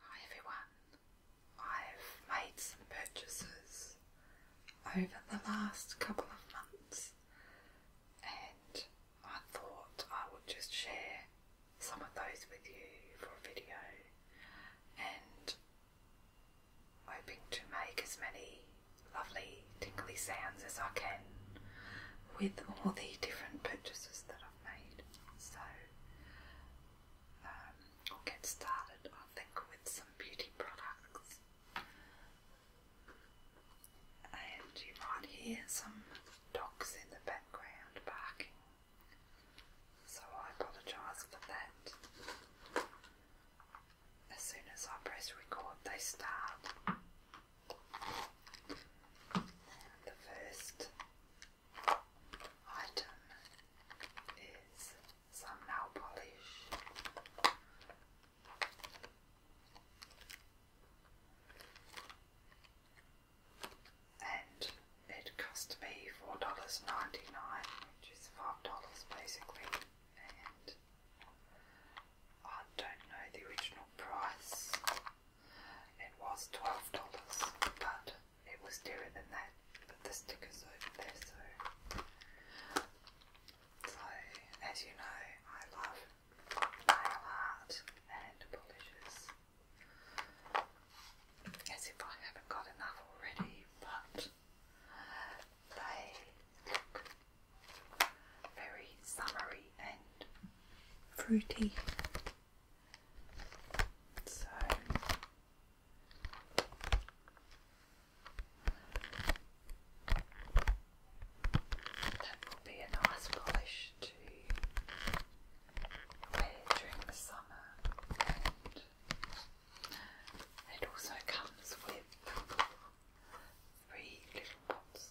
Hi everyone, I've made some purchases over the last couple of months and I thought I would just share some of those with you for a video and hoping to make as many lovely tingly sounds as I can with all the different purchases that I've made. So um, will get started, I think, with some beauty products. And you might hear some dogs in the background barking, so I apologise for that. As soon as I press record, they start. the first item is some nail polish. And it cost me four dollars ninety nine, which is five dollars basically. I don't know the original price. It was twelve dollars, but it was dearer than that. But the sticker's over there, so so as you know, I love nail art and polishes. As if I haven't got enough already, but they look very summery and fruity. So that will be a nice polish to wear during the summer, and it also comes with three little pots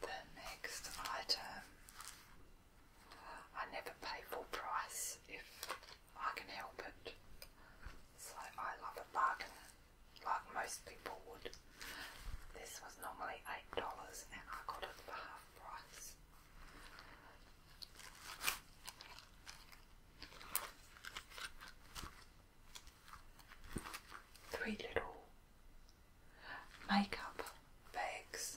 The next item, I never pay full price if I can help it, so I love a bargain like most people would. This was normally $8 and I got it for half Three little makeup bags,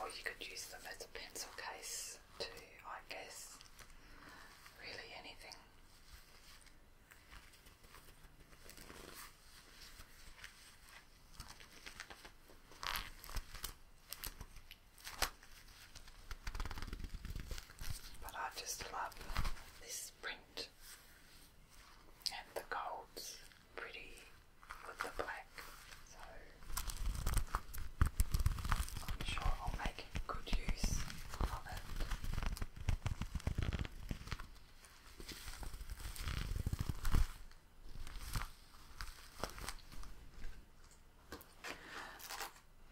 or you could use them as a pencil case too, I guess. Really, anything. But I just love this print and the coat's pretty with the black, so I'm sure I'll make good use of it.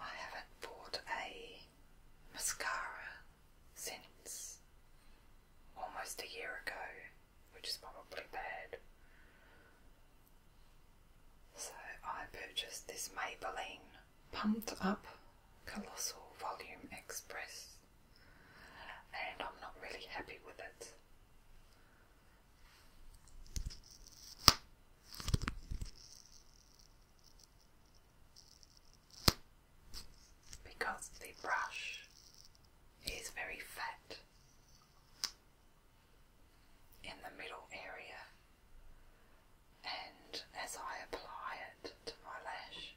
I haven't bought a mascara since almost a year ago, which is probably bad. So I purchased this Maybelline Pumped Up Colossal Volume Express and I'm not really happy with it. Because the brush is very fat in the middle area, and as I apply it to my lash,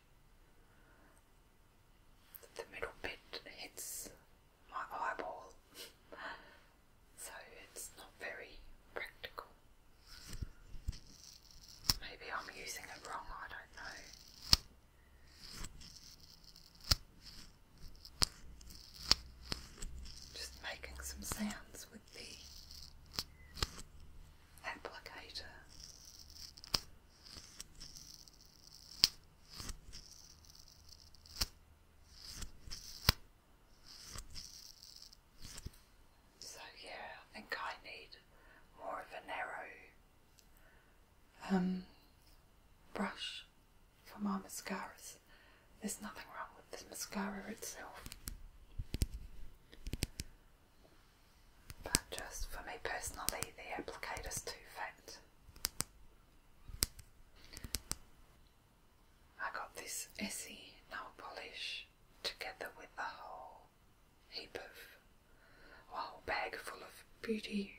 the middle bit hits my eyeball, so it's not very practical. Maybe I'm using it wrong, I don't know. Just making some sounds with the applicator. So, yeah, I think I need more of a narrow um, brush for my mascaras. There's nothing wrong with the mascara itself but just for me personally the applicator's too fat. I got this Essie nail polish together with a whole heap of, a whole bag full of beauty,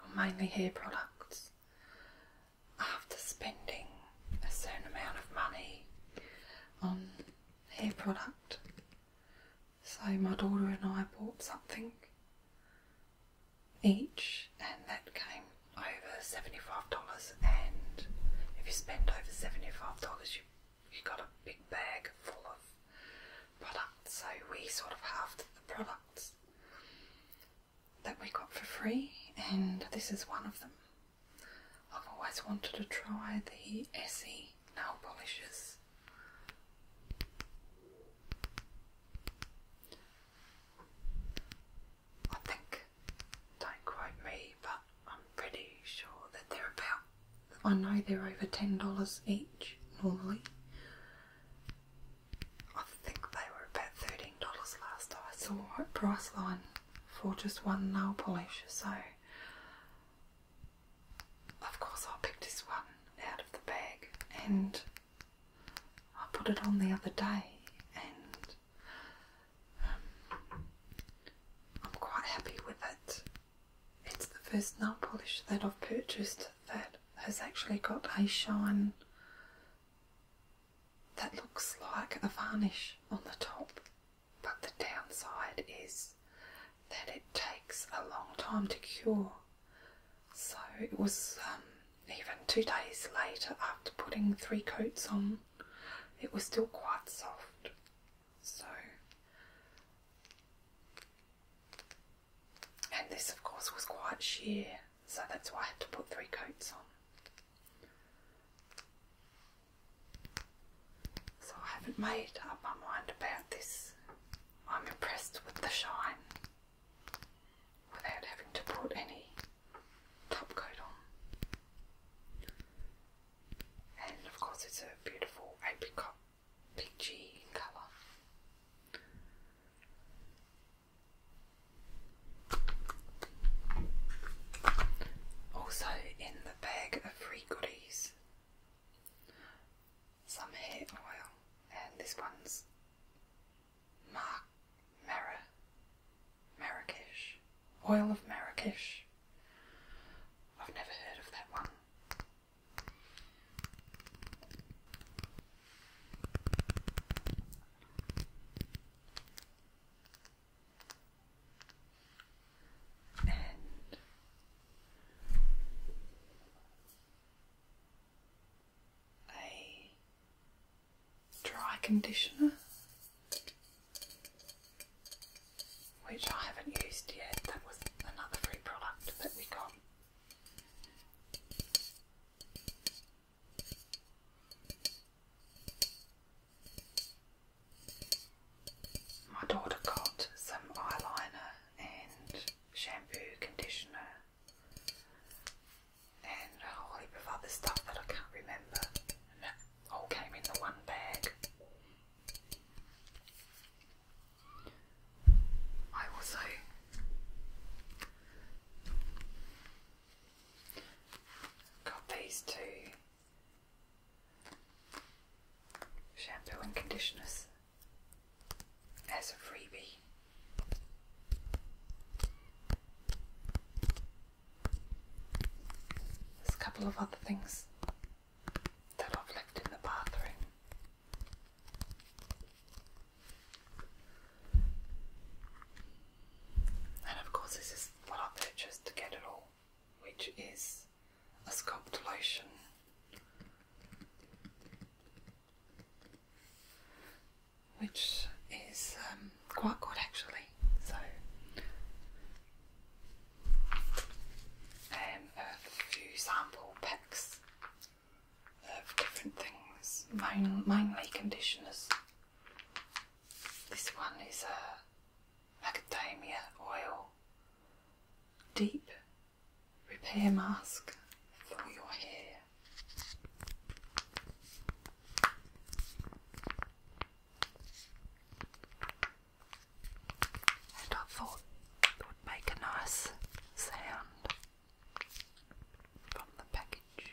or mainly hair products, after spending a certain amount of money on hair product so my daughter and I bought something each, and that came over seventy-five dollars. And if you spend over seventy-five dollars, you you got a big bag full of products. So we sort of halved the products that we got for free, and this is one of them. I've always wanted to try the Essie nail polishes. I think, don't quote me, but I'm pretty sure that they're about, I know they're over $10 each normally. I think they were about $13 last I saw at Priceline for just one nail polish, so of course, I'll this one out of the bag and I put it on the other day, and um, I'm quite happy with it. It's the first nail polish that I've purchased that has actually got a shine that looks like a varnish on the top. But the downside is that it takes a long time to cure. So it was um, even two days later, after putting three coats on, it was still quite soft. So, and this, of course, was quite sheer, so that's why I had to put three coats on. So I haven't made up my mind about this. I'm impressed with the shine without having to put any top coat on. And of course it's a beautiful apricot peachy in colour. Also, in the bag of free goodies some hair oil, and this one's Mar Mara Oil of Marrakesh. I've never heard of that one a dry conditioner which I haven't used yet. That was another free product that we got. My daughter got some eyeliner and shampoo, conditioner, and a whole heap of other stuff that I can't remember. all came in the one bag. I also got these two Shampoo and conditioners as a freebie. There's a couple of other things that I've left in the bathroom. And of course, this is what I purchased to get it all, which is as a sculptulation. Which is um, quite good actually. So, um, a few sample packs of different things, mainly conditioners. This one is a macadamia oil, deep repair mask for your hair. I thought it would make a nice sound from the package.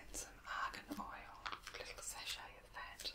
And some argan oil, a little sachet of that.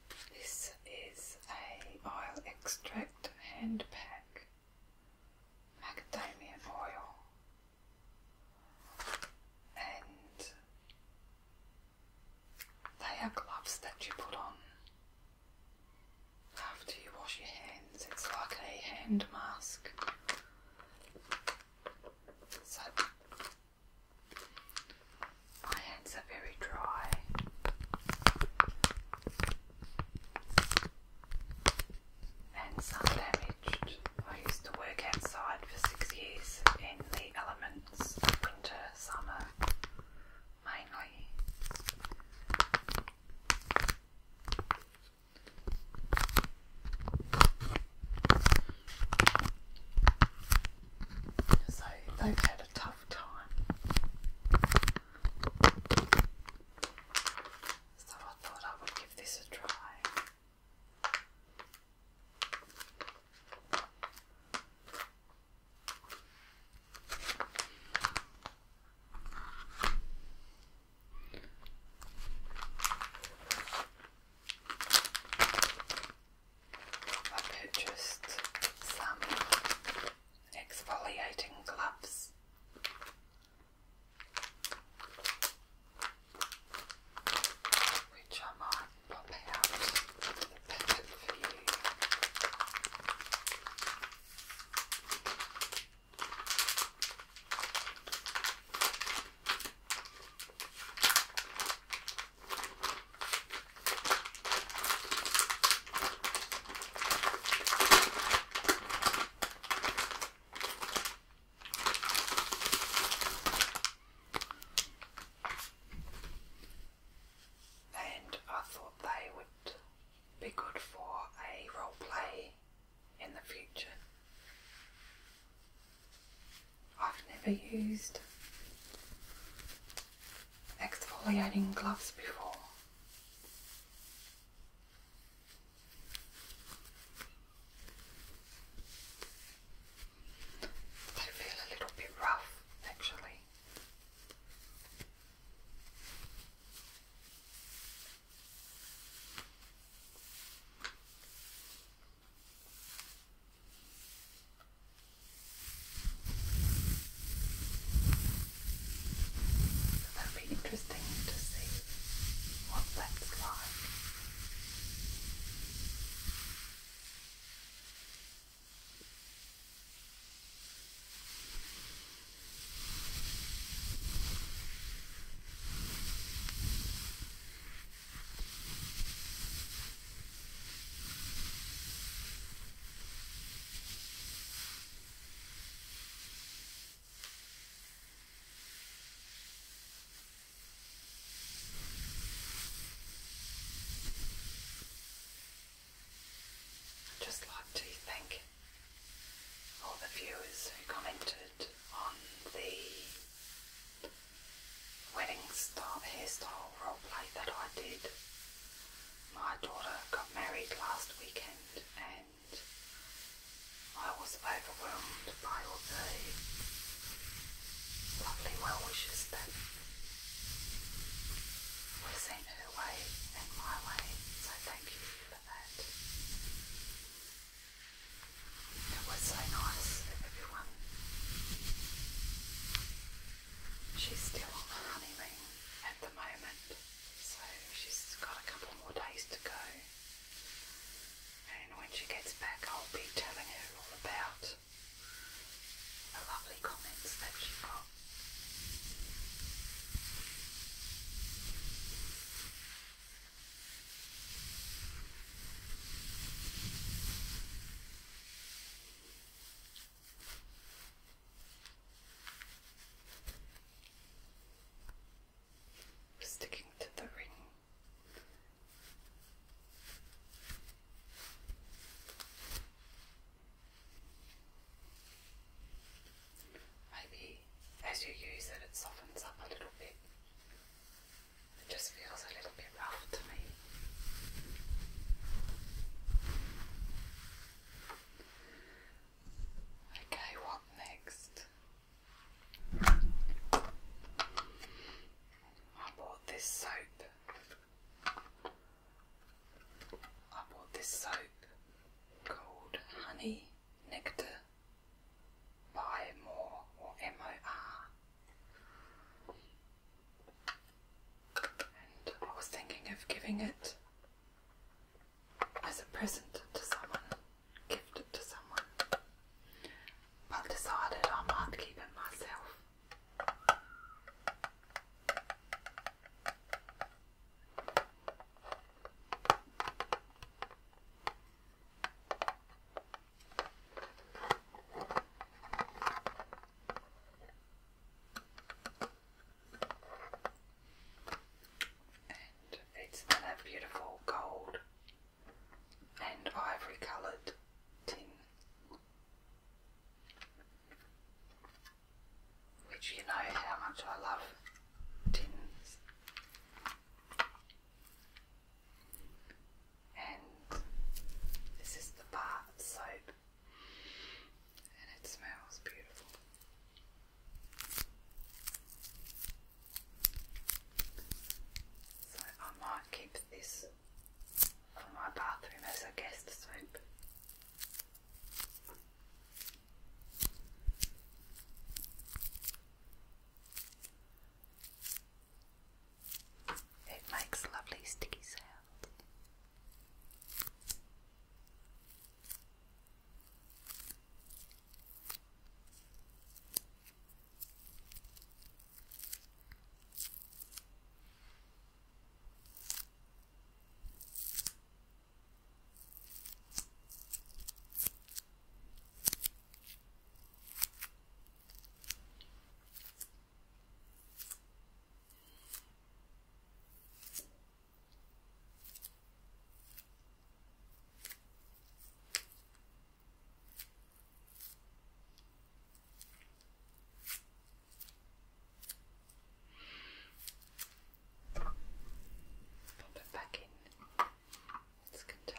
This is a oil extract hand pack, macadamia oil, and they are gloves that you put on after you wash your hands. It's like a hand mask. So my hands are very dry. Hands are damaged. I used to work outside for six years in the elements of winter, summer mainly. So they've had a tough so I thought I would give this a try. I purchased some exfoliating gloves. Which I might pop out the packet for you. And I thought they would be good for a role play in the future. I've never used exfoliating gloves before. They feel a little bit rough actually. That'd be interesting to see what that's like. I'd just like to thank all the viewers who commented on the wedding style hairstyle play that I did. My daughter got married last weekend and I was overwhelmed by all the lovely well wishes that were sent her way and my way, so thank you for that. It was so nice of everyone. She's still on the honeymoon at the moment, so she's got a couple more days to go. And when she gets back, I'll be telling her all about the lovely comments that she got. Sticking to the ring. Maybe as you use it, it softens up a little bit. It just feels a little bit rough to me. Okay, what next? I bought this soap. I bought this soap called Honey Nectar by More or M O R I was thinking of giving it as a present to someone, gift it to someone, but decided I might keep it myself. And it's in beautiful gold and ivory coloured tin, which you know how much I love tins and this is the bath soap, and it smells beautiful. So I might keep this for my bathroom as a guest soap. It makes lovely sticky sounds. Pop it back in its container.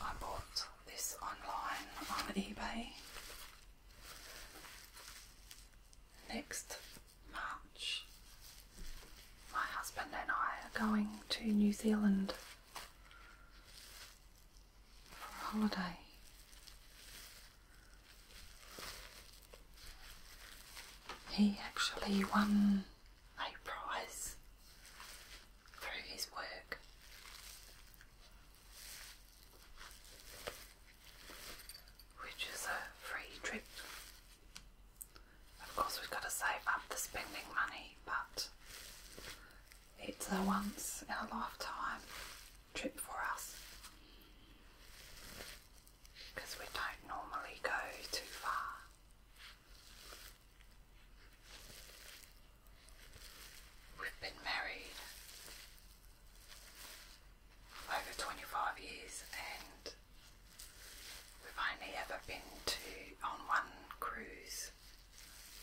I bought this online on eBay next March. My husband and I are going to New Zealand for a holiday. He actually won a prize through his work. Which is a free trip. Of course, we've got to save up the spending money, but it's a once in a lifetime trip for us because we don't normally go too far. We've been married over 25 years and we've only ever been to on one cruise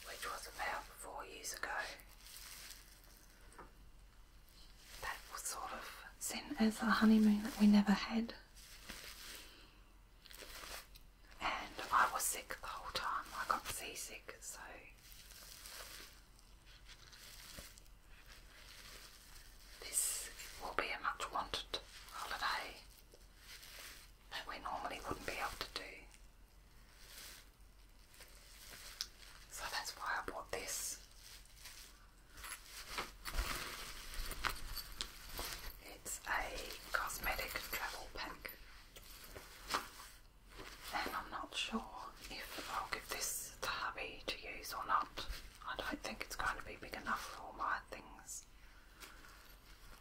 which was about four years ago. That was sort of seen as a honeymoon that we never had. And I was sick the whole time. I got seasick, so. This will be a much wanted holiday that we normally wouldn't be able to do. So that's why I bought this. It's a cosmetic travel pack, and I'm not sure if I'll give this to hubby to use or not. I don't think it's going to be big enough for all my things,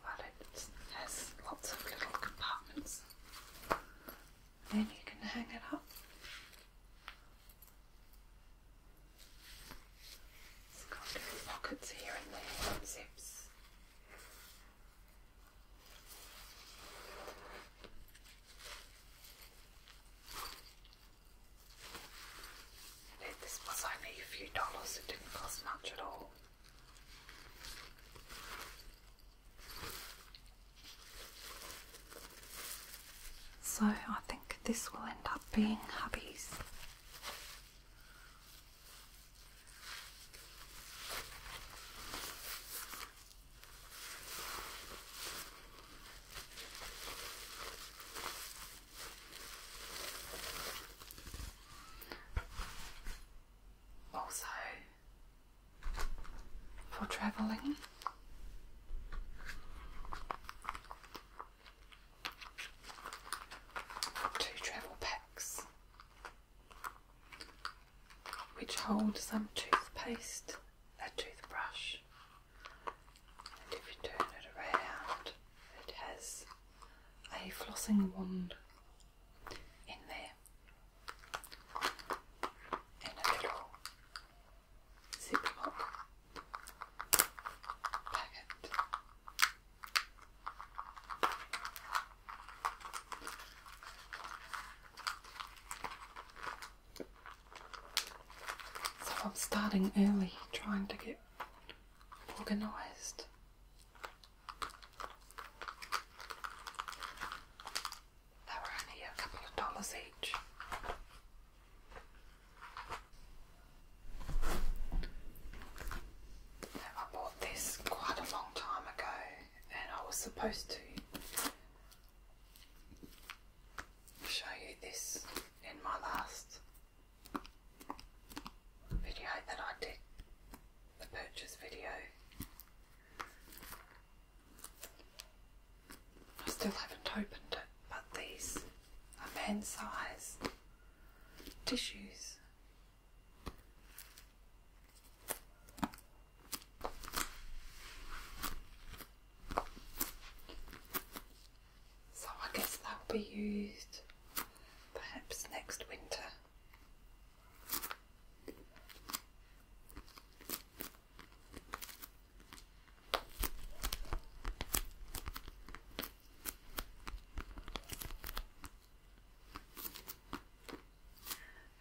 but it has lots of little compartments, and you can hang it up it's got different pockets here and there, zips. This was only a few dollars, it didn't cost much at all. So I think this will end up being hubby's. Also, for travelling, two travel packs which hold some toothpaste, a toothbrush, and if you turn it around, it has a flossing wand in there and a little Super Pop So I'm starting early trying to get organised. They were only a couple of dollars each. I bought this quite a long time ago, and I was supposed to show you this in my last video that I did the purchase video. I still haven't opened it, but these are man size tissues. So I guess they'll be used perhaps next winter.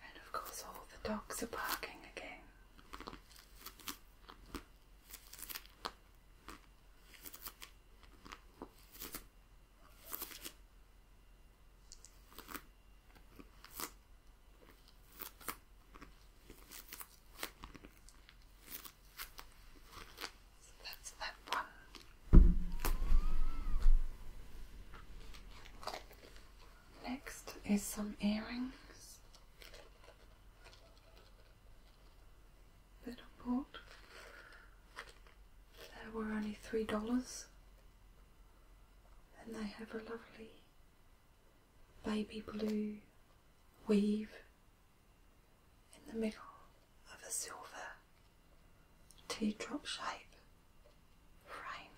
And of course, all the dogs are barking again. So that's that one. Next is some earrings that I bought. They were only three dollars, and they have a lovely baby blue weave in the middle of a silver teardrop shape frame.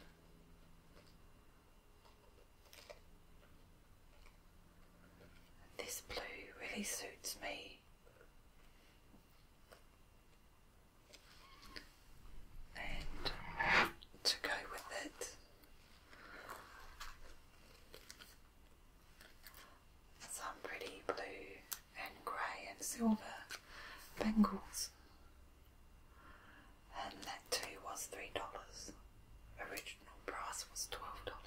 This blue really suits me. And to go with it, some pretty blue and grey and silver bangles, and that too was three dollars. Original price was twelve dollars.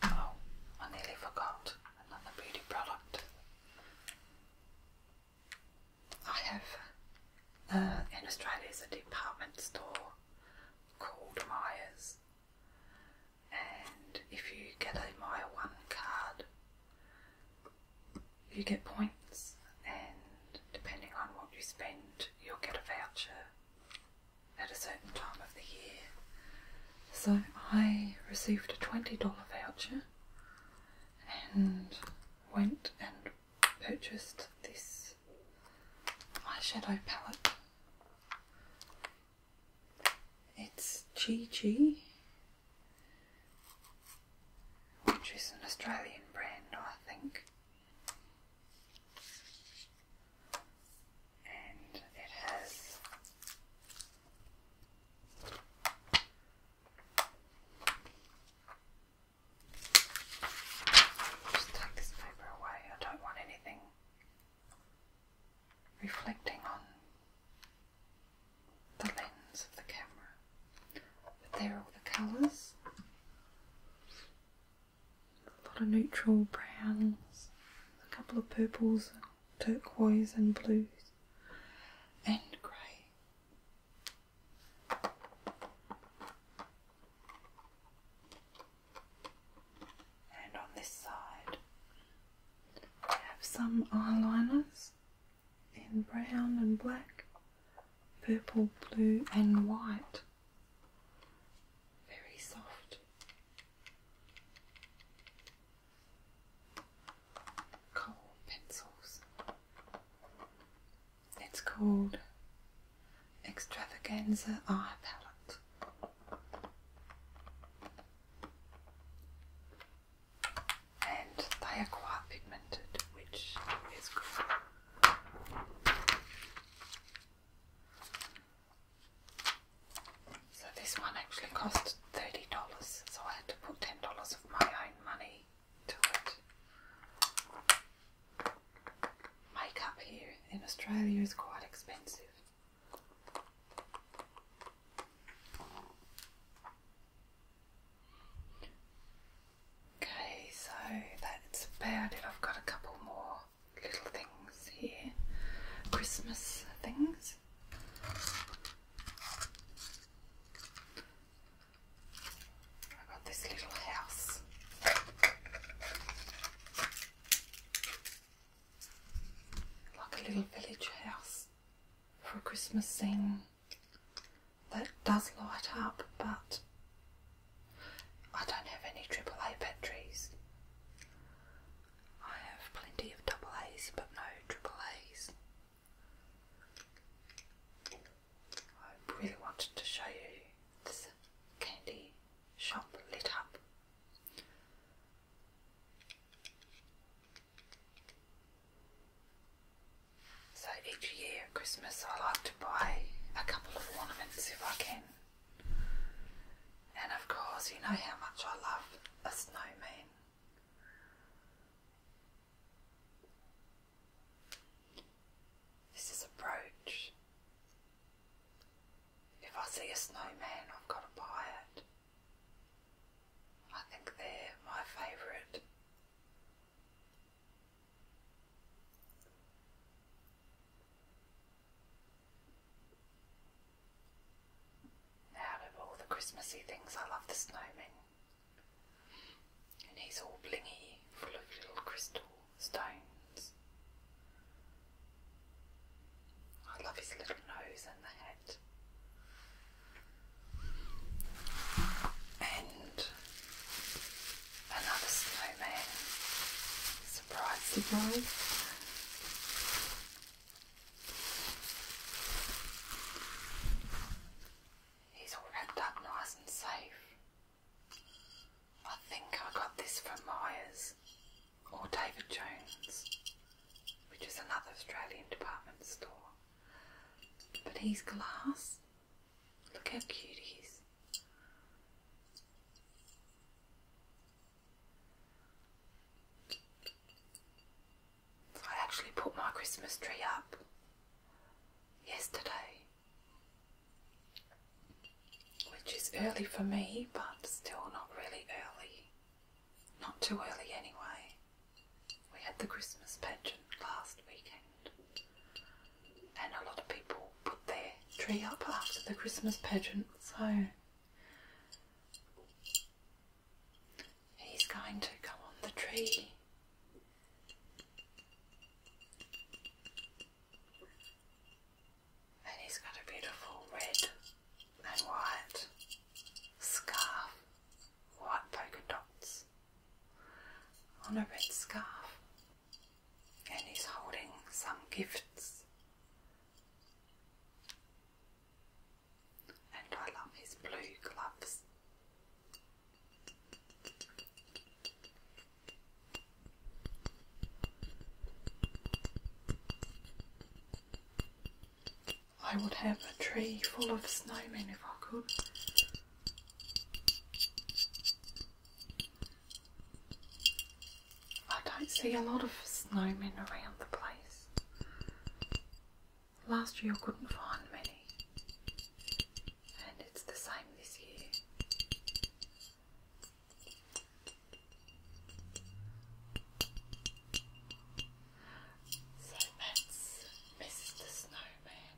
Oh, I nearly forgot another beauty product. I have uh, in Australia is a department store called Myers. And if you get a My 1 card, you get points, and depending on what you spend, you'll get a voucher at a certain time of the year. So I received a $20 voucher and went and purchased this eyeshadow palette. It's GG, which is an Australian brand, I think, and it has just take this paper away. I don't want anything reflecting on the lens of the camera. But there are all the colours. A lot of neutral browns, a couple of purples, turquoise and blues, and grey. And on this side, we have some eyeliners in brown and black, purple, blue, and white. Very soft. Coal pencils. It's called Extravaganza Eye Palette. And they are quite pigmented, which is good. So this one actually cost $30, so I had to put $10 of my own money to it. Makeup here in Australia is quite expensive. Okay, so that's about it. I've got a couple more little things here Christmas things. I got this little house. Like a little village house for a Christmas scene that does light up, but I don't have any AAA batteries. I have plenty of double A's, but no triple A's. I really wanted to show you candy shop lit up. So each year at Christmas I like to buy a couple of ornaments if I can. And of course you know how much I love a snowman. This is a brooch. If I see a snowman, I've got to buy it. I think they're my favourite. Out of all the Christmassy things, I love the snowman and he's all blingy, full of little crystal stones. I love his little nose and the head. And another snowman. Surprise, surprise. He's all wrapped up nice and safe I think I got this from Myers or David Jones, which is another Australian department store. But he's glass. Look how cute he is. I actually put my Christmas tree up yesterday which is early for me, but still not really early. Not too early anyway. We had the Christmas pageant last weekend, and a lot of people put their tree up after the Christmas pageant, so he's going to come on the tree and he's got a beautiful red and white scarf, white polka dots on a red scarf. And he's holding some gifts. And I love his blue gloves. I would have a tree full of snowmen if I could. I don't see a lot of snowmen around the place. Last year I couldn't find many and it's the same this year. So that's Mrs. the Snowman.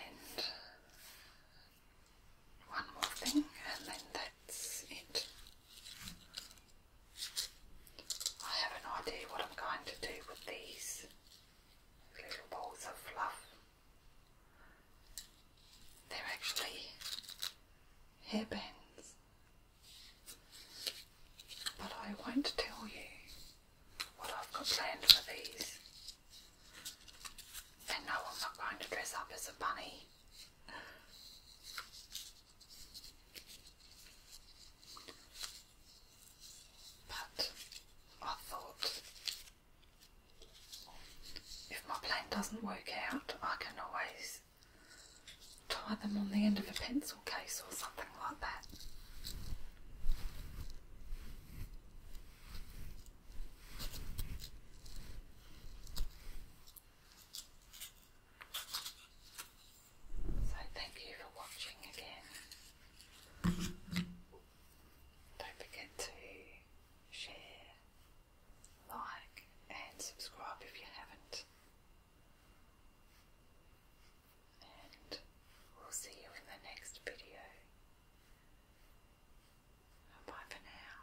And one more thing, and then that's it. I have an idea what I'm going to do with these little balls of fluff. They're actually hairbands, but I won't tell you what I've got planned for these. And no, I'm not going to dress up as a bunny. But I thought if my plan doesn't work out, I can always tie them on the end of a pencil case or something like that. So thank you for watching again. Don't forget to share, like and subscribe if you haven't. And we'll see you in the next video. Bye for now.